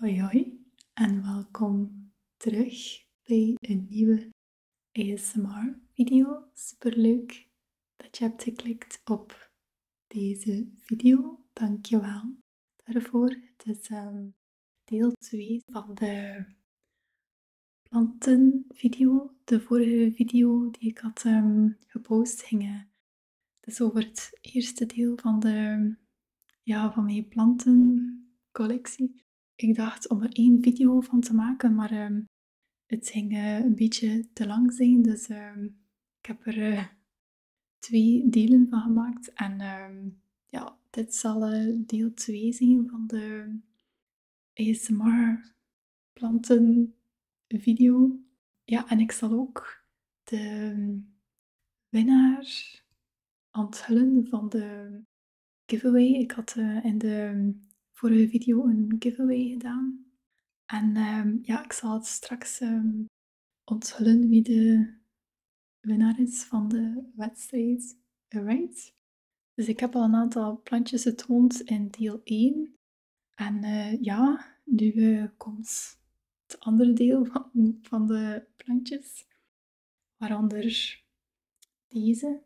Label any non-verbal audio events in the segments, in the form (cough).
Hoi hoi en welkom terug bij een nieuwe ASMR video. Super leuk dat je hebt geklikt op deze video. Dankjewel daarvoor. Het is ehm, deel 2 van de plantenvideo. De vorige video die ik had ehm, gepost ging het is over het eerste deel van, de, ja, van mijn plantencollectie. Ik dacht om er één video van te maken, maar ehm, het ging eh, een beetje te lang zijn. Dus ehm, ik heb er eh, twee delen van gemaakt. En ehm, ja, dit zal eh, deel 2 zijn van de ASMR planten video. Ja, en ik zal ook de winnaar onthullen van de giveaway. Ik had eh, in de vorige video een giveaway gedaan. En ehm, ja, ik zal het straks ehm, onthullen wie de winnaar is van de wedstrijd. Alright? Dus ik heb al een aantal plantjes getoond in deel 1. En eh, ja, nu eh, komt het andere deel van, van de plantjes. Waaronder deze.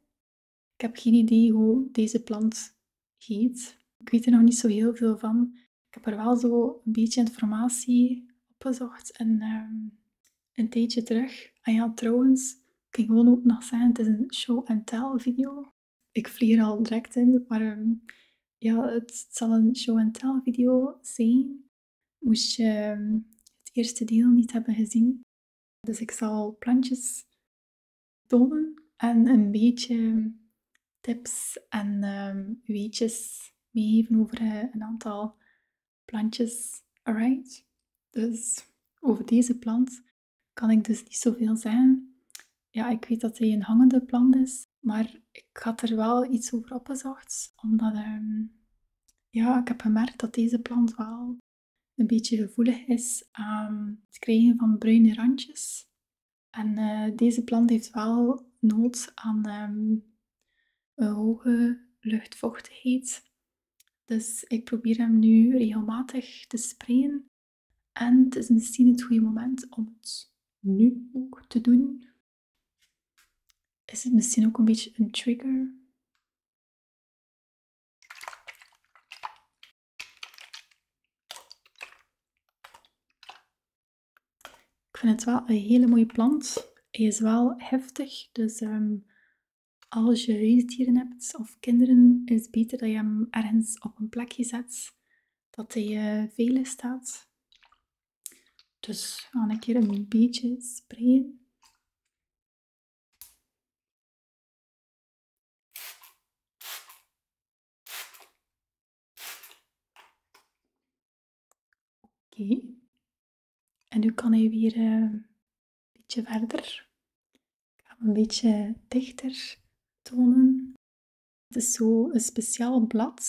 Ik heb geen idee hoe deze plant heet. Ik weet er nog niet zo heel veel van. Ik heb er wel zo een beetje informatie opgezocht en ehm, een tijdje terug. En ah ja, trouwens, ik ging gewoon ook nog zeggen, het is een show-and-tell video. Ik vlieg er al direct in, maar ehm, ja, het zal een show-and-tell video zijn. Moest je ehm, het eerste deel niet hebben gezien. Dus ik zal plantjes tonen en een beetje tips en ehm, weetjes meegeven over eh, een aantal plantjes. Alright? Dus over deze plant kan ik dus niet zoveel zeggen. Ja, ik weet dat hij een hangende plant is. Maar ik had er wel iets over opgezocht, omdat ehm, ja, ik heb gemerkt dat deze plant wel een beetje gevoelig is aan het krijgen van bruine randjes. En eh, deze plant heeft wel nood aan ehm, een hoge luchtvochtigheid. Dus ik probeer hem nu regelmatig te sprayen. En het is misschien het goede moment om het nu ook te doen. Is het misschien ook een beetje een trigger? Ik vind het wel een hele mooie plant. Hij is wel heftig, dus ehm, als je huisdieren hebt of kinderen, is het beter dat je hem ergens op een plekje zet dat hij uh, veilig staat. Dus ga ik keer een beetje sprayen. Oké. En nu kan hij weer eh, een beetje verder. Ik ga hem een beetje dichter tonen. Het is zo een speciaal blad.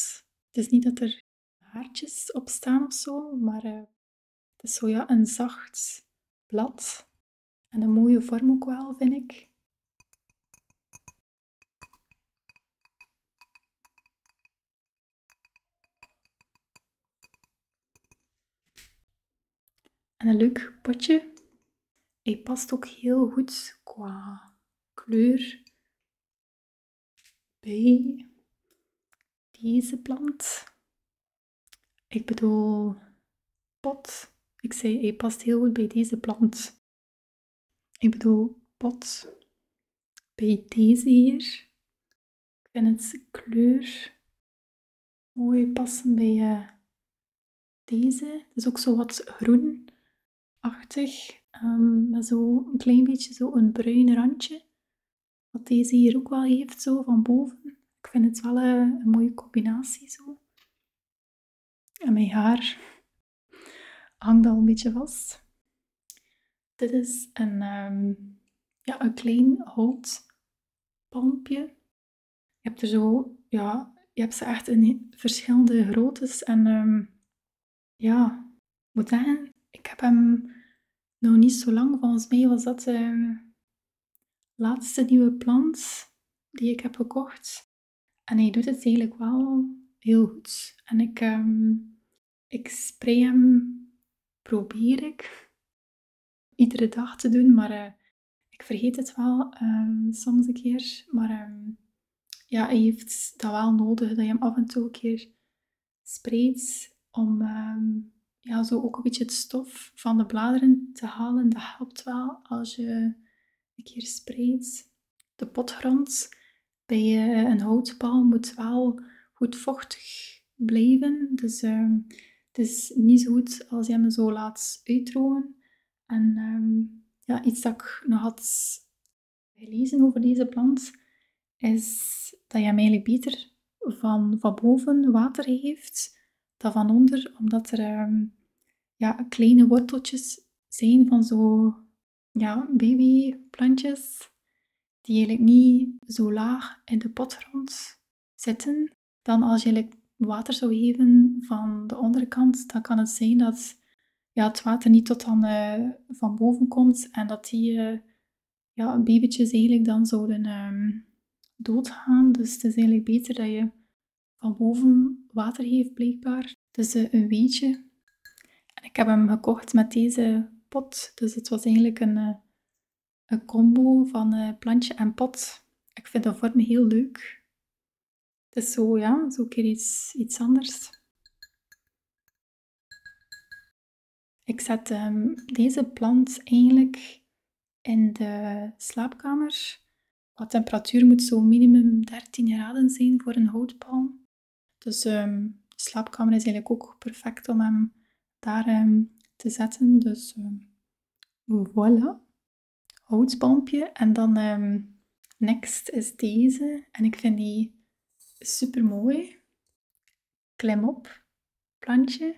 Het is niet dat er haartjes op staan of zo, maar eh, het is zo ja, een zacht blad. En een mooie vorm ook wel, vind ik. En een leuk potje. Hij past ook heel goed qua kleur bij deze plant. Ik bedoel, pot. Ik zei, hij past heel goed bij deze plant. Ik bedoel, pot. Bij deze hier. Ik vind het kleur mooi passen bij eh, deze. Het is ook zo wat groen achtig met ehm, zo een klein beetje zo een bruin randje. Wat deze hier ook wel heeft, zo van boven. Ik vind het wel eh, een, mooie combinatie zo. En mijn haar hangt al een beetje vast. Dit is een, ehm, ja, een klein houtpalmpje. Je hebt er zo, ja, je hebt ze echt in verschillende groottes en ehm, ja, ik moet zeggen, ik heb hem nog niet zo lang. Volgens mij was dat de ehm, laatste nieuwe plant die ik heb gekocht. En hij doet het eigenlijk wel heel goed. En ik, ehm, ik spray hem, probeer ik, iedere dag te doen. Maar eh, ik vergeet het wel ehm, soms een keer. Maar ja, je heeft dat wel nodig dat je hem af en toe een keer sprayt om ehm, ja, zo ook een beetje het stof van de bladeren te halen. Dat helpt wel als je een keer sprayt. De potgrond bij eh, een houtpaal moet wel goed vochtig blijven. Dus ehm, het is niet zo goed als je hem zo laat uitdrogen. En ehm, ja, iets dat ik nog had gelezen over deze plant, is dat je hem eigenlijk beter van, van boven water geeft dan van onder, omdat er ehm, ja, kleine worteltjes zijn van zo ja, babyplantjes die eigenlijk niet zo laag in de pot rond zitten. Dan als je water zou geven van de onderkant, dan kan het zijn dat ja, het water niet tot dan eh, van boven komt en dat die eh, ja, babytjes eigenlijk dan zouden ehm, doodgaan. Dus het is eigenlijk beter dat je van boven water geeft, blijkbaar. Dus een weetje. En ik heb hem gekocht met deze pot. Dus het was eigenlijk een, een combo van plantje en pot. Ik vind de vorm heel leuk. Het is zo, ja, zo keer iets anders. Ik zet ehm, deze plant eigenlijk in de slaapkamer. De temperatuur moet zo minimum 13 graden zijn voor een houtpalm. Dus ehm, de slaapkamer is eigenlijk ook perfect om hem daar ehm, te zetten. Dus voilà, Houtbalmpje En dan Next is deze. En ik vind die super mooi. Klem op plantje.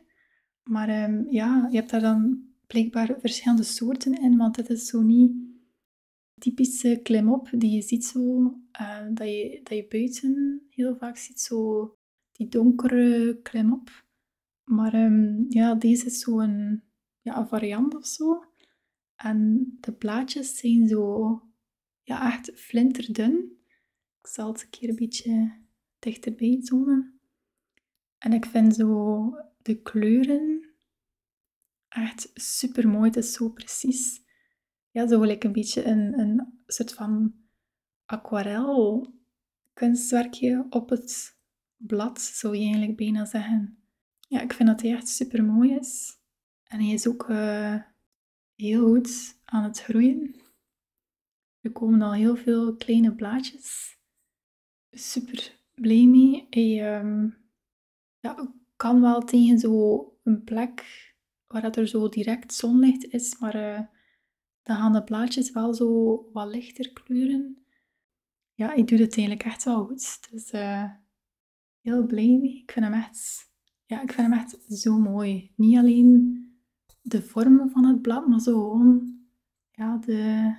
Maar ehm, ja, je hebt daar dan blijkbaar verschillende soorten in, want dit is zo niet typische klimop die je ziet zo, eh, dat, je, buiten heel vaak ziet, zo die donkere klimop. Maar ehm, ja, deze is zo'n ja, een variant of zo. En de plaatjes zijn zo, ja, echt flinterdun. Ik zal het een keer een beetje dichterbij tonen. En ik vind zo de kleuren echt super mooi. Het is zo precies. Ja, zo gelijk een beetje een, een soort van aquarel kunstwerkje op het blad, zou je eigenlijk bijna zeggen. Ja, ik vind dat hij echt super mooi is. En hij is ook eh, heel goed aan het groeien. Er komen al heel veel kleine blaadjes. Super blij Hij ehm, kan wel tegen zo een plek waar dat er zo direct zonlicht is, maar eh, dan gaan de blaadjes wel zo wat lichter kleuren. Ja, ik doe het eigenlijk echt wel goed. Dus eh heel blij mee. Ik vind hem echt, ja, ik vind hem echt zo mooi. Niet alleen de vormen van het blad, maar zo gewoon ja, de,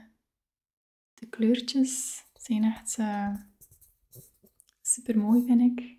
kleurtjes zijn echt eh, super mooi, vind ik.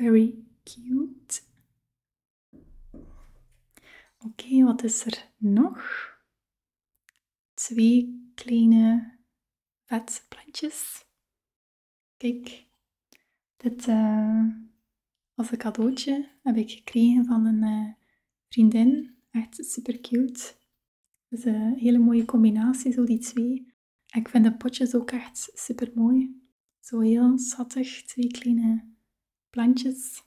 Very cute. Oké, wat is er nog? Twee kleine vetplantjes. Kijk, dit uh, als een cadeautje heb ik gekregen van een uh, vriendin. Echt super cute. Dus een eh, hele mooie combinatie, zo die twee. ik vind de potjes ook echt super mooi. Zo heel zattig, twee kleine plantjes.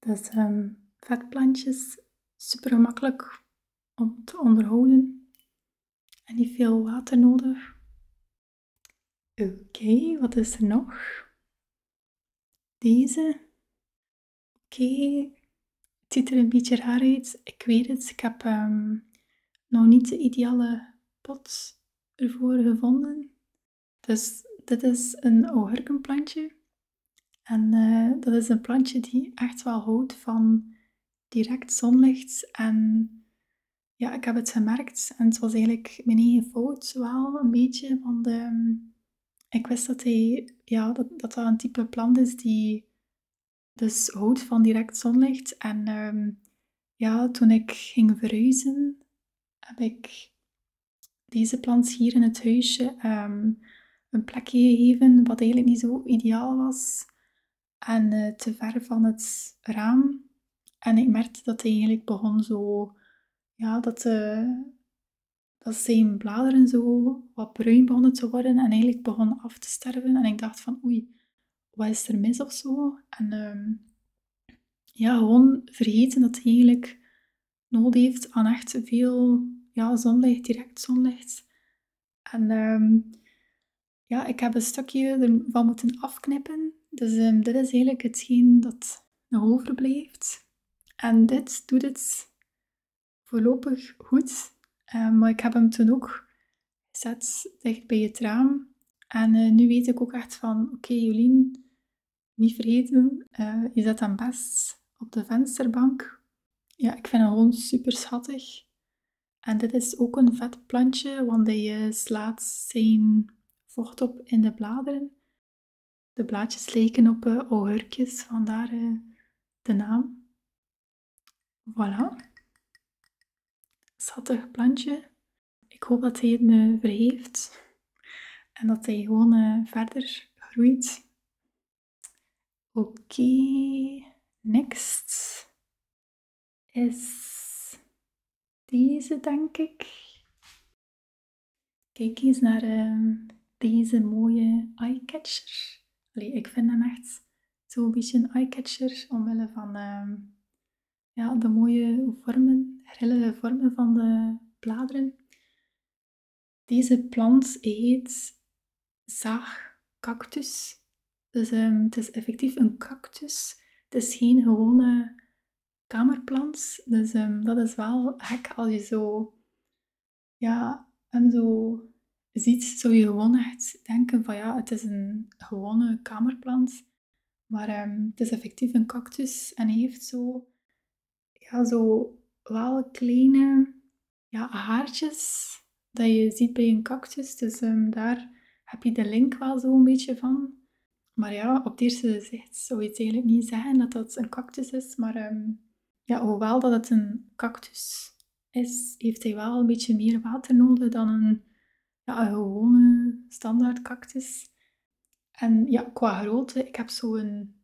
Dat um, ehm, vetplantjes, super gemakkelijk om te onderhouden en niet veel water nodig. Oké, wat is er nog? Deze. Oké, het ziet er een beetje raar uit. Ik weet het, ik heb ehm, nog niet de ideale pot ervoor gevonden. Dus dit is een augurkenplantje. En eh, dat is een plantje die echt wel houdt van direct zonlicht. En ja, ik heb het gemerkt. En het was eigenlijk mijn eigen fout wel een beetje. Want de. Ehm, ik wist dat, hij, ja, dat, dat, een type plant is die dus houdt van direct zonlicht. En ehm, ja, toen ik ging verhuizen, heb ik deze plant hier in het huisje ehm, een plekje gegeven, wat eigenlijk niet zo ideaal was. En eh, te ver van het raam. En ik merkte dat hij eigenlijk begon zo, ja, dat, eh, dat zijn bladeren zo wat bruin begonnen te worden en eigenlijk begon af te sterven. En ik dacht van, oei, wat is er mis of zo? En ehm, ja, gewoon vergeten dat het eigenlijk nood heeft aan echt veel ja, zonlicht, direct zonlicht. En ehm, ja, ik heb een stukje ervan moeten afknippen. Dus ehm, dit is eigenlijk hetgeen dat nog overblijft. En dit doet het voorlopig goed. maar ik heb hem toen ook zet dicht bij het raam. En eh, nu weet ik ook echt van, oké Jolien, niet vergeten, eh, je zet hem best op de vensterbank. Ja, ik vind hem gewoon super schattig. En dit is ook een vet plantje, want hij eh, slaat zijn vocht op in de bladeren. De blaadjes lijken op uh, augurkjes, vandaar de naam. Voilà. Schattig plantje. Ik hoop dat hij het me verheeft en dat hij gewoon eh, verder groeit. Oké, next is deze, denk ik. Kijk eens naar ehm, deze mooie eyecatcher. Allee, ik vind hem echt zo'n beetje een eyecatcher omwille van ehm, ja, de mooie vormen, hele vormen van de bladeren. Deze plant heet zaagcactus. Dus ehm, het is effectief een cactus. Het is geen gewone kamerplant. Dus ehm, dat is wel gek als je zo, ja, hem zo ziet, zou je gewoon echt denken van ja, het is een gewone kamerplant. Maar ehm, het is effectief een cactus en hij heeft zo, ja, zo wel kleine ja, haartjes dat je ziet bij een cactus. Dus ehm, daar heb je de link wel zo een beetje van. Maar ja, op het eerste gezicht zou je eigenlijk niet zeggen dat dat een cactus is. Maar ehm, ja, hoewel dat het een cactus is, heeft hij wel een beetje meer water nodig dan een ja, een gewone standaard cactus. En ja, qua grootte, ik heb zo'n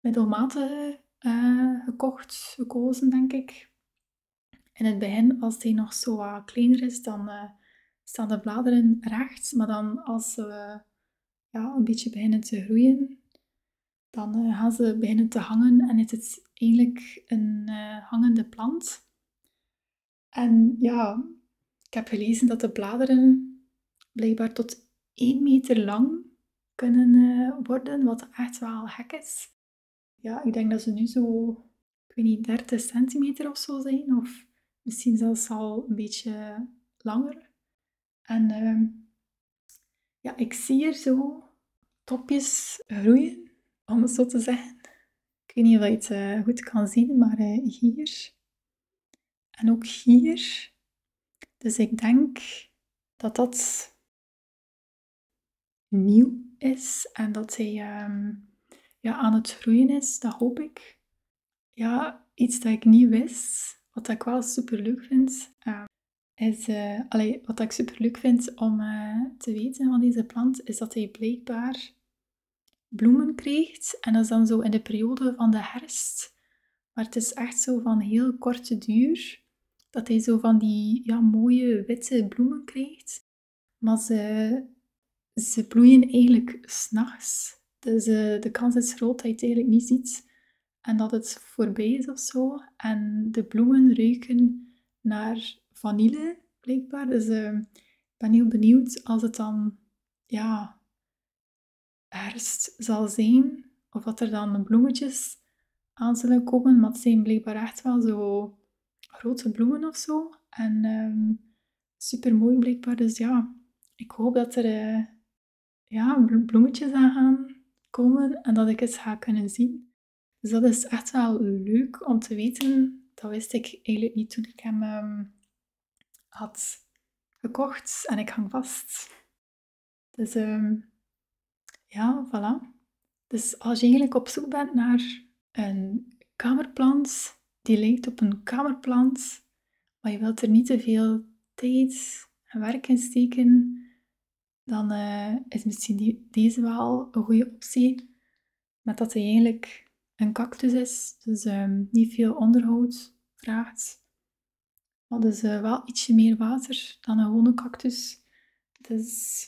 middelmatige eh, gekocht, gekozen, denk ik. In het begin, als die nog zo wat kleiner is, dan eh, staan de bladeren recht. Maar dan als ze ja, een beetje beginnen te groeien, dan eh, gaan ze beginnen te hangen en is het eigenlijk een hangende plant. En ja, ik heb gelezen dat de bladeren blijkbaar tot 1 meter lang kunnen eh, worden, wat echt wel hek is. Ja, ik denk dat ze nu zo, ik weet niet, 30 centimeter of zo zijn, of misschien zelfs al een beetje langer. En ehm, ja, ik zie er zo topjes groeien, om het zo te zeggen. Ik weet niet of je het eh, goed kan zien, maar eh, hier. En ook hier. Dus ik denk dat dat nieuw is en dat hij ehm, ja, aan het groeien is, dat hoop ik. Ja, iets dat ik niet wist, wat ik wel super leuk vind, ehm, is, eh, wat ik super leuk vind om te weten van deze plant, is dat hij blijkbaar bloemen krijgt. En dat is dan zo in de periode van de herfst. Maar het is echt zo van heel korte duur dat hij zo van die ja, mooie witte bloemen krijgt. Maar ze, ze bloeien eigenlijk s'nachts. Dus de kans is groot dat je het eigenlijk niet ziet en dat het voorbij is of zo. En de bloemen ruiken naar vanille, blijkbaar. Dus ehm, ik ben heel benieuwd als het dan ja, herfst zal zijn. Of wat er dan bloemetjes aan zullen komen. Maar het zijn blijkbaar echt wel zo grote bloemen of zo. En ehm, super mooi blijkbaar. Dus ja, ik hoop dat er eh, ja, bloemetjes aan gaan komen. En dat ik het ga kunnen zien. Dus dat is echt wel leuk om te weten. Dat wist ik eigenlijk niet toen ik hem ehm, had gekocht en ik hang vast. Dus ehm, ja, voilà. Dus als je eigenlijk op zoek bent naar een kamerplant die lijkt op een kamerplant, maar je wilt er niet te veel tijd en werk in steken, dan eh, is misschien die, deze wel een goede optie met dat hij eigenlijk een cactus is, dus ehm, niet veel onderhoud vraagt. Maar dus eh, wel ietsje meer water dan een gewone cactus. Dus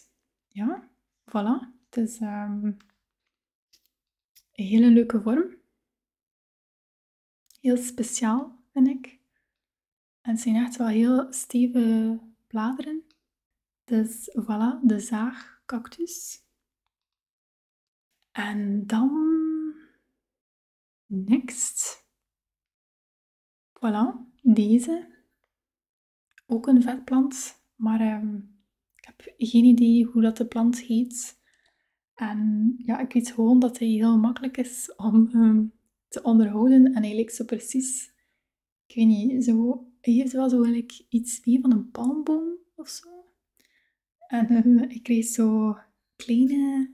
ja, voilà. Het is ehm, een hele leuke vorm. Heel speciaal, vind ik. En het zijn echt wel heel stevige bladeren. Dus voilà, de zaagcactus. En dan. Next. Voilà, deze. Ook een vetplant, maar ehm, ik heb geen idee hoe dat de plant heet. En ja, ik weet gewoon dat hij heel makkelijk is om ehm, te onderhouden. En hij lijkt zo precies, ik weet niet, zo, hij heeft wel zo eigenlijk iets meer van een palmboom of zo. En eh, ik kreeg zo kleine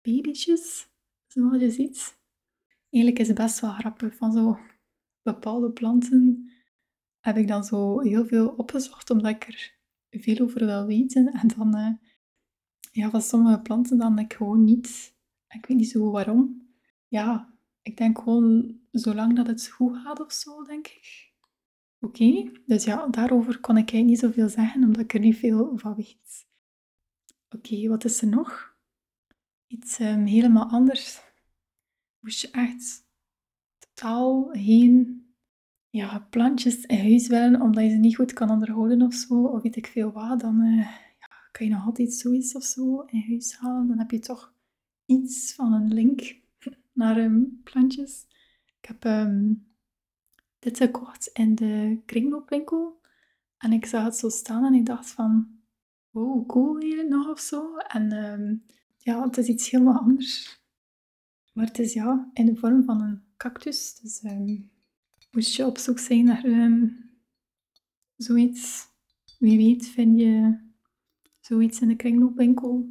babytjes, zoals je ziet. Eigenlijk is het best wel grappig, van zo bepaalde planten heb ik dan zo heel veel opgezocht, omdat ik er veel over wil weten. En dan, eh, ja, van sommige planten dan ik gewoon niet. Ik weet niet zo waarom. Ja, ik denk gewoon zolang dat het goed gaat of zo, denk ik. Oké, dus ja, daarover kon ik eigenlijk niet zoveel zeggen, omdat ik er niet veel van weet. Oké, wat is er nog? Iets ehm, helemaal anders. Moest je echt totaal geen ja, plantjes in huis willen, omdat je ze niet goed kan onderhouden of zo, of weet ik veel wat, dan eh, kan je nog altijd zoiets of zo in huis halen. Dan heb je toch iets van een link (laughs) naar een ehm, plantjes. Ik heb ehm, dit gekocht in de kringloopwinkel. En ik zag het zo staan en ik dacht van... Wow, cool hier nog of zo. En ehm, ja, het is iets helemaal (laughs) anders. Maar het is ja, in de vorm van een cactus. Dus moest je op zoek zijn naar zoiets. Wie weet vind je zoiets in de kringloopwinkel.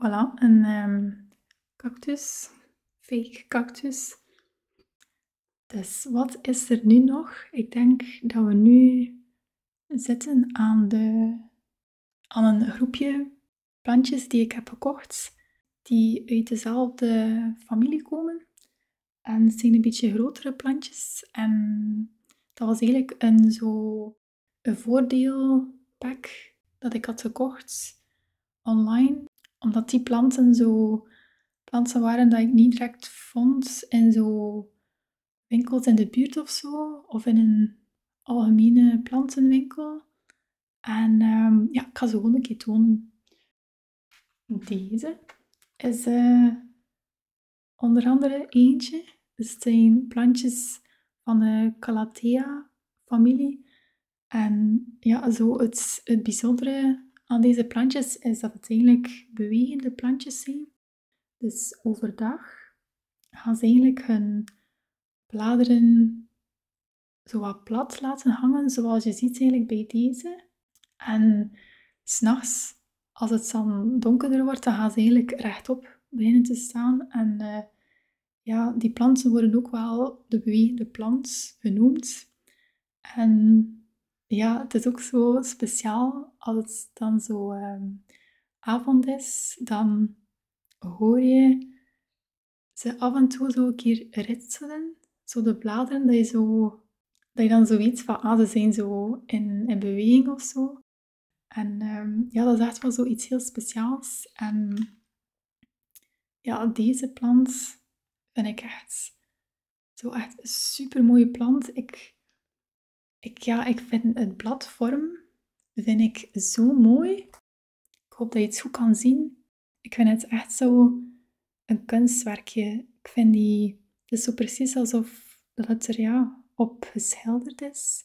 Voilà, een ehm, cactus. Fake cactus. Dus wat is er nu nog? Ik denk dat we nu zitten aan, een groepje plantjes die ik heb gekocht. Die uit dezelfde familie komen. En het zijn een beetje grotere plantjes. En dat was eigenlijk een, zo, een voordeelpak dat ik had gekocht online. Omdat die planten zo planten waren dat ik niet direct vond in zo winkels in de buurt of zo. Of in een algemene plantenwinkel. En ehm, ja, ik ga ze gewoon een keer tonen. Deze is eh, onder andere eentje. Het zijn plantjes van de Calathea familie. En ja, zo het, bijzondere aan deze plantjes is dat het eigenlijk bewegende plantjes zijn. Dus overdag gaan ze eigenlijk hun bladeren zo plat laten hangen, zoals je ziet eigenlijk bij deze. En s'nachts, als het dan donkerder wordt, dan gaan ze eigenlijk rechtop beginnen te staan en eh, ja, die planten worden ook wel de bewegende plant genoemd. En ja, het is ook zo speciaal als het dan zo ehm, avond is, dan hoor je ze af en toe zo een keer ritselen. Zo de bladeren, dat je, zo, dat je dan zoiets van, ah, ze zijn zo in, in beweging of zo. En ehm, ja, dat is echt wel zoiets heel speciaals. En ja, deze plant vind ik echt zo echt een super mooie plant. Ik, ik, ja, ik vind het bladvorm vind ik zo mooi. Ik hoop dat je het goed kan zien. Ik vind het echt zo een kunstwerkje. Ik vind die, het zo precies alsof dat het er ja, op geschilderd is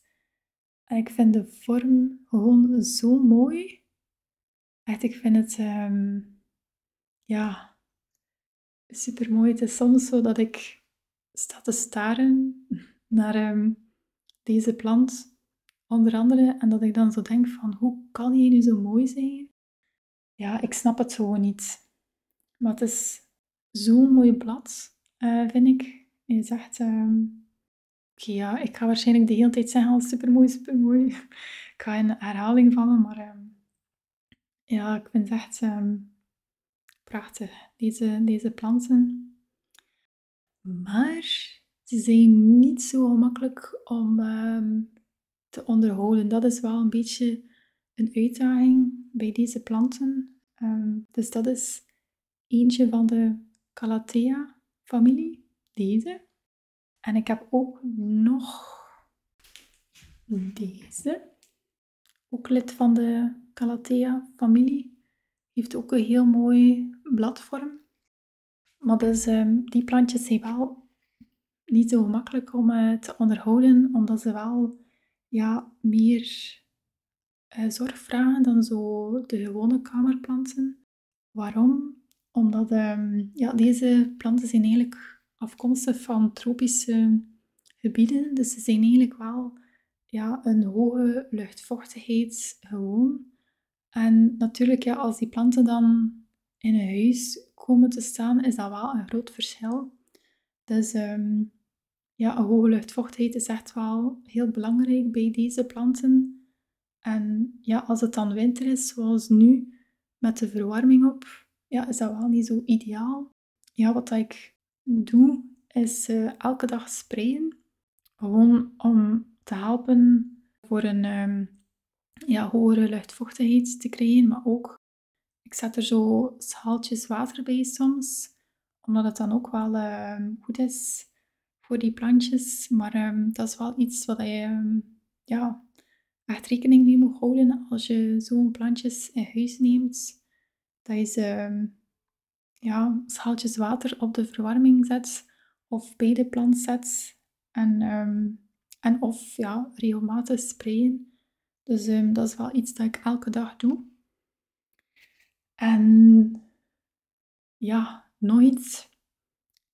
ik vind de vorm gewoon zo mooi. Echt, ik vind het, ehm, ja, super mooi. Het is soms zo dat ik sta te staren (laughs) naar ehm, deze plant, onder andere. En dat ik dan zo denk van, hoe kan hij nu zo mooi zijn? Ja, ik snap het gewoon niet. Maar het is zo'n mooi blad, eh, vind ik. Je zegt, um, Oké, ja, ik ga waarschijnlijk de hele tijd zeggen al supermooi, supermooi. (laughs) ik ga in herhaling vallen, maar ehm, ja, ik vind het echt ehm, prachtig, deze, deze planten. Maar ze zijn niet zo gemakkelijk om ehm, te onderhouden. Dat is wel een beetje een uitdaging bij deze planten. dus dat is eentje van de Calathea-familie, deze. En ik heb ook nog deze, ook lid van de Calathea-familie. Heeft ook een heel mooi bladvorm. Maar dus, ehm, die plantjes zijn wel niet zo gemakkelijk om eh, te onderhouden, omdat ze wel ja, meer eh, zorg vragen dan zo de gewone kamerplanten. Waarom? Omdat ehm, ja, deze planten zijn eigenlijk afkomstig van tropische gebieden. Dus ze zijn eigenlijk wel ja, een hoge luchtvochtigheid gewoon. En natuurlijk, ja, als die planten dan in een huis komen te staan, is dat wel een groot verschil. Dus ehm, ja, een hoge luchtvochtigheid is echt wel heel belangrijk bij deze planten. En ja, als het dan winter is, zoals nu, met de verwarming op, ja, is dat wel niet zo ideaal. Ja, wat ik doe, is eh, elke dag sprayen. Gewoon om te helpen voor een ehm, ja, hogere luchtvochtigheid te creëren, maar ook ik zet er zo schaaltjes water bij soms, omdat het dan ook wel ehm, goed is voor die plantjes. Maar ehm, dat is wel iets wat je ehm, ja, echt rekening mee moet houden als je zo'n plantjes in huis neemt. Dat je ze ehm, ja, schaaltjes water op de verwarming zet of bij de plant zet. En, en of ja, regelmatig sprayen. Dus dat is wel iets dat ik elke dag doe. En ja, nooit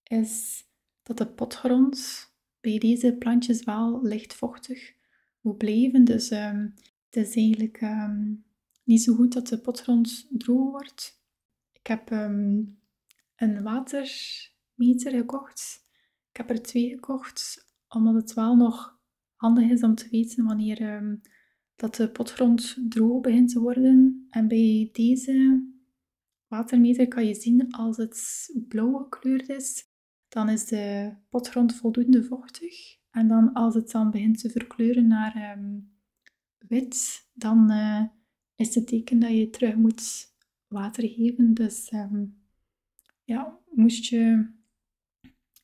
is dat de potgrond bij deze plantjes wel licht vochtig moet blijven. Dus ehm, het is eigenlijk ehm, niet zo goed dat de potgrond droog wordt. Ik heb ehm, een watermeter gekocht. Ik heb er twee gekocht, omdat het wel nog handig is om te weten wanneer dat de potgrond droog begint te worden. En bij deze watermeter kan je zien als het blauw gekleurd is, dan is de potgrond voldoende vochtig. En dan als het dan begint te verkleuren naar ehm, wit, dan eh, is het teken dat je terug moet water geven. Dus ehm, ja, moest je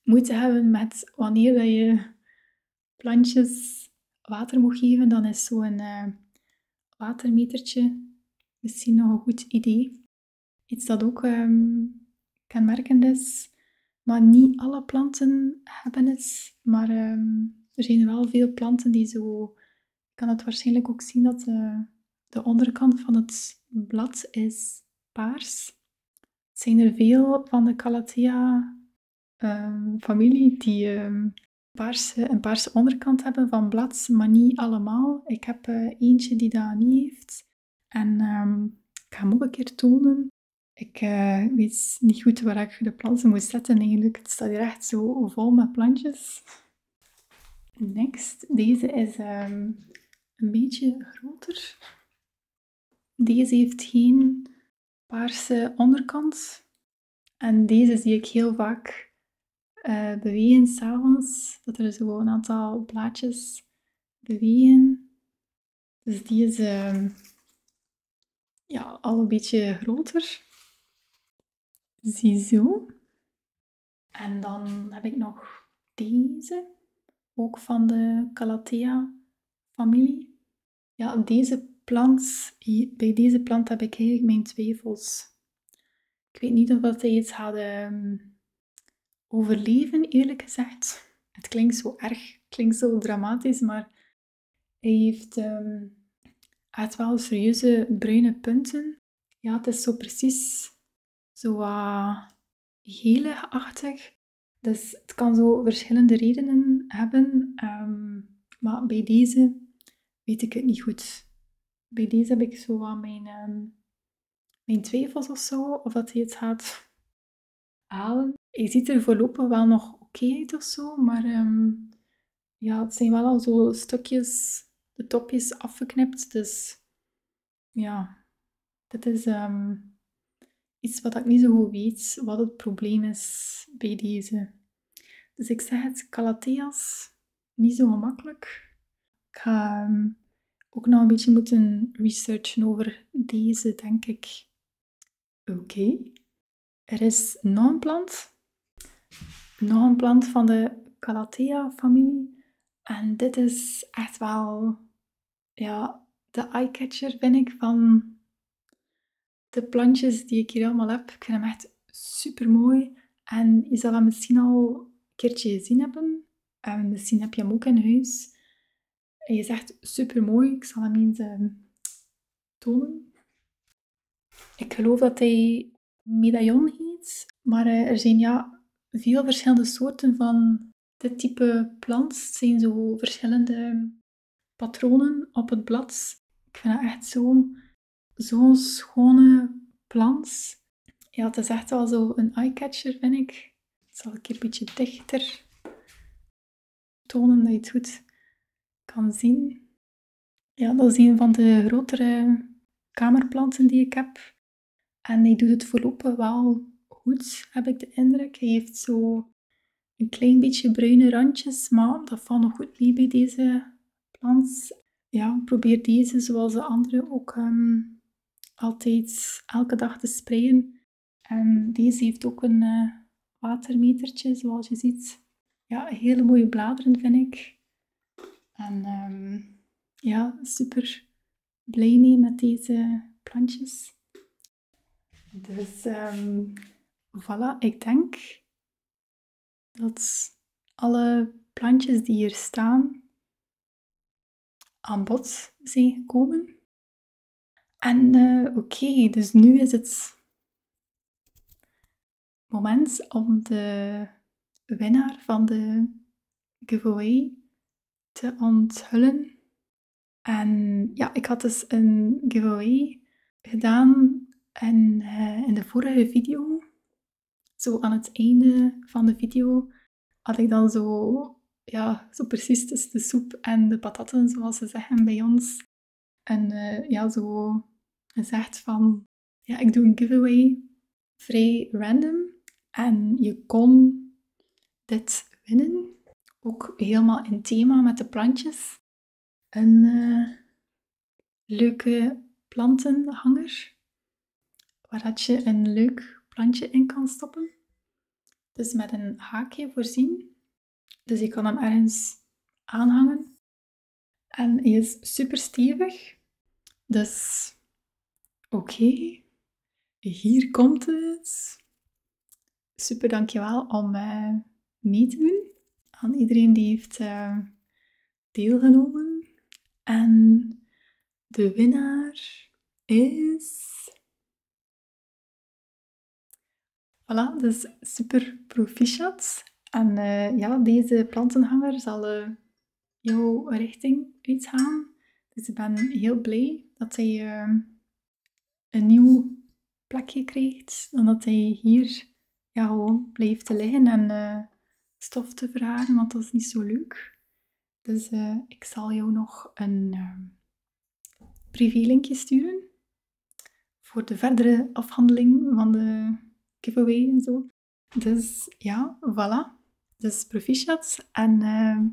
moeite hebben met wanneer dat je plantjes water moet geven, dan is zo'n uh, watermetertje misschien nog een goed idee. Iets dat ook ehm, kan kenmerkend is. Maar niet alle planten hebben het. Maar ehm, er zijn wel veel planten die zo... Je kan het waarschijnlijk ook zien dat eh, de, onderkant van het blad is paars. zijn er veel van de Calathea Ehm, familie die ehm, paarse, een paarse onderkant hebben van blad, maar niet allemaal. Ik heb eh, eentje die dat niet heeft. En ehm, ik ga hem ook een keer tonen. Ik eh, weet niet goed waar ik de planten moet zetten eigenlijk. Het staat hier echt zo vol met plantjes. Next, deze is een beetje groter. Deze heeft geen paarse onderkant. En deze zie ik heel vaak uh, bewegen s'avonds. Dat er zo dus gewoon een aantal blaadjes bewegen. Dus die is ehm, ja, al een beetje groter. Ziezo. En dan heb ik nog deze. Ook van de Calathea familie ja, deze plant, bij deze plant heb ik eigenlijk mijn twijfels. Ik weet niet of wat hij iets had ehm, overleven, eerlijk gezegd. Het klinkt zo erg, het klinkt zo dramatisch, maar hij heeft, ehm, het wel serieuze bruine punten. Ja, het is zo precies zo uh, achtig Dus het kan zo verschillende redenen hebben. Ehm, maar bij deze weet ik het niet goed. Bij deze heb ik zo ehm, mijn, twijfels of zo, of dat hij het gaat halen. Hij ziet er voorlopig wel nog oké uit of zo, maar ehm, ja, het zijn wel al zo stukjes, de topjes afgeknipt. Dus ja, dat is ehm, iets wat ik niet zo goed weet, wat het probleem is bij deze. Dus ik zeg het, Calatheas, niet zo gemakkelijk. Ik ga ehm, ook nog een beetje moeten researchen over deze, denk ik. Oké. Er is nog een plant. Nog een plant van de Calathea-familie. En dit is echt wel ja, de eyecatcher, vind ik, van de plantjes die ik hier allemaal heb. Ik vind hem echt super mooi. En je zal hem misschien al een keertje gezien hebben. En misschien heb je hem ook in huis. Hij is echt super mooi. Ik zal hem eens ehm, tonen. Ik geloof dat hij medaillon heet. Maar eh, er zijn ja, veel verschillende soorten van dit type plant. Het zijn zo verschillende patronen op het blad. Ik vind dat echt zo'n schone plans. Ja, het is echt wel zo een catcher. vind ik. zal ik hier een beetje dichter tonen dat je het goed kan zien. Ja, dat is een van de grotere kamerplanten die ik heb. En hij doet het voorlopig wel goed, heb ik de indruk. Hij heeft zo een klein beetje bruine randjes, maar dat valt nog goed mee bij deze plant. Ja, probeer deze zoals de andere ook ehm, altijd elke dag te sprayen. En deze heeft ook een watermeter eh, watermetertje, zoals je ziet. Ja, hele mooie bladeren vind ik. En ehm, ja, super blij mee met deze plantjes. Dus ehm, voilà, ik denk dat alle plantjes die hier staan aan bod zijn gekomen. En eh, oké, dus nu is het moment om de winnaar van de giveaway te onthullen. En ja, ik had dus een giveaway gedaan. En eh, in de vorige video, zo aan het einde van de video, had ik dan zo, ja, zo precies de soep en de patatten, zoals ze zeggen bij ons. En eh, ja, zo gezegd van, ja, ik doe een giveaway. Vrij random. En je kon dit winnen. Ook helemaal in thema met de plantjes een eh, leuke plantenhanger waar je een leuk plantje in kan stoppen. Dus met een haakje voorzien. Dus je kan hem ergens aanhangen. En hij is super stevig. Dus oké, hier komt het. Super dankjewel om wel. Eh, doen aan iedereen die heeft eh, deelgenomen. En de winnaar is. Voilà, dus super proficiat. En eh, ja, deze plantenhanger zal eh, jouw richting uitgaan. Dus ik ben heel blij dat hij een nieuw plekje kreeg omdat hij hier ja, gewoon blijft te liggen en eh, stof te verharen, want dat is niet zo leuk. Dus eh, ik zal jou nog een ehm, privé-linkje sturen voor de verdere afhandeling van de giveaway en zo. Dus ja, voilà. Dus proficiat en ehm,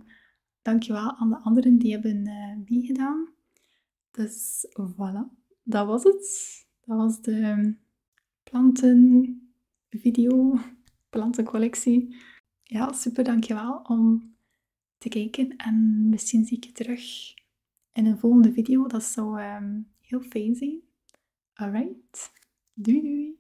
dankjewel aan de anderen die hebben eh, meegedaan. Dus voilà, dat was het. Dat was de plantenvideo, (laughs) plantencollectie. Ja, super, dankjewel om te kijken. En misschien zie ik je terug in een volgende video. Dat zou ehm, heel fijn zijn. Alright, doei doei!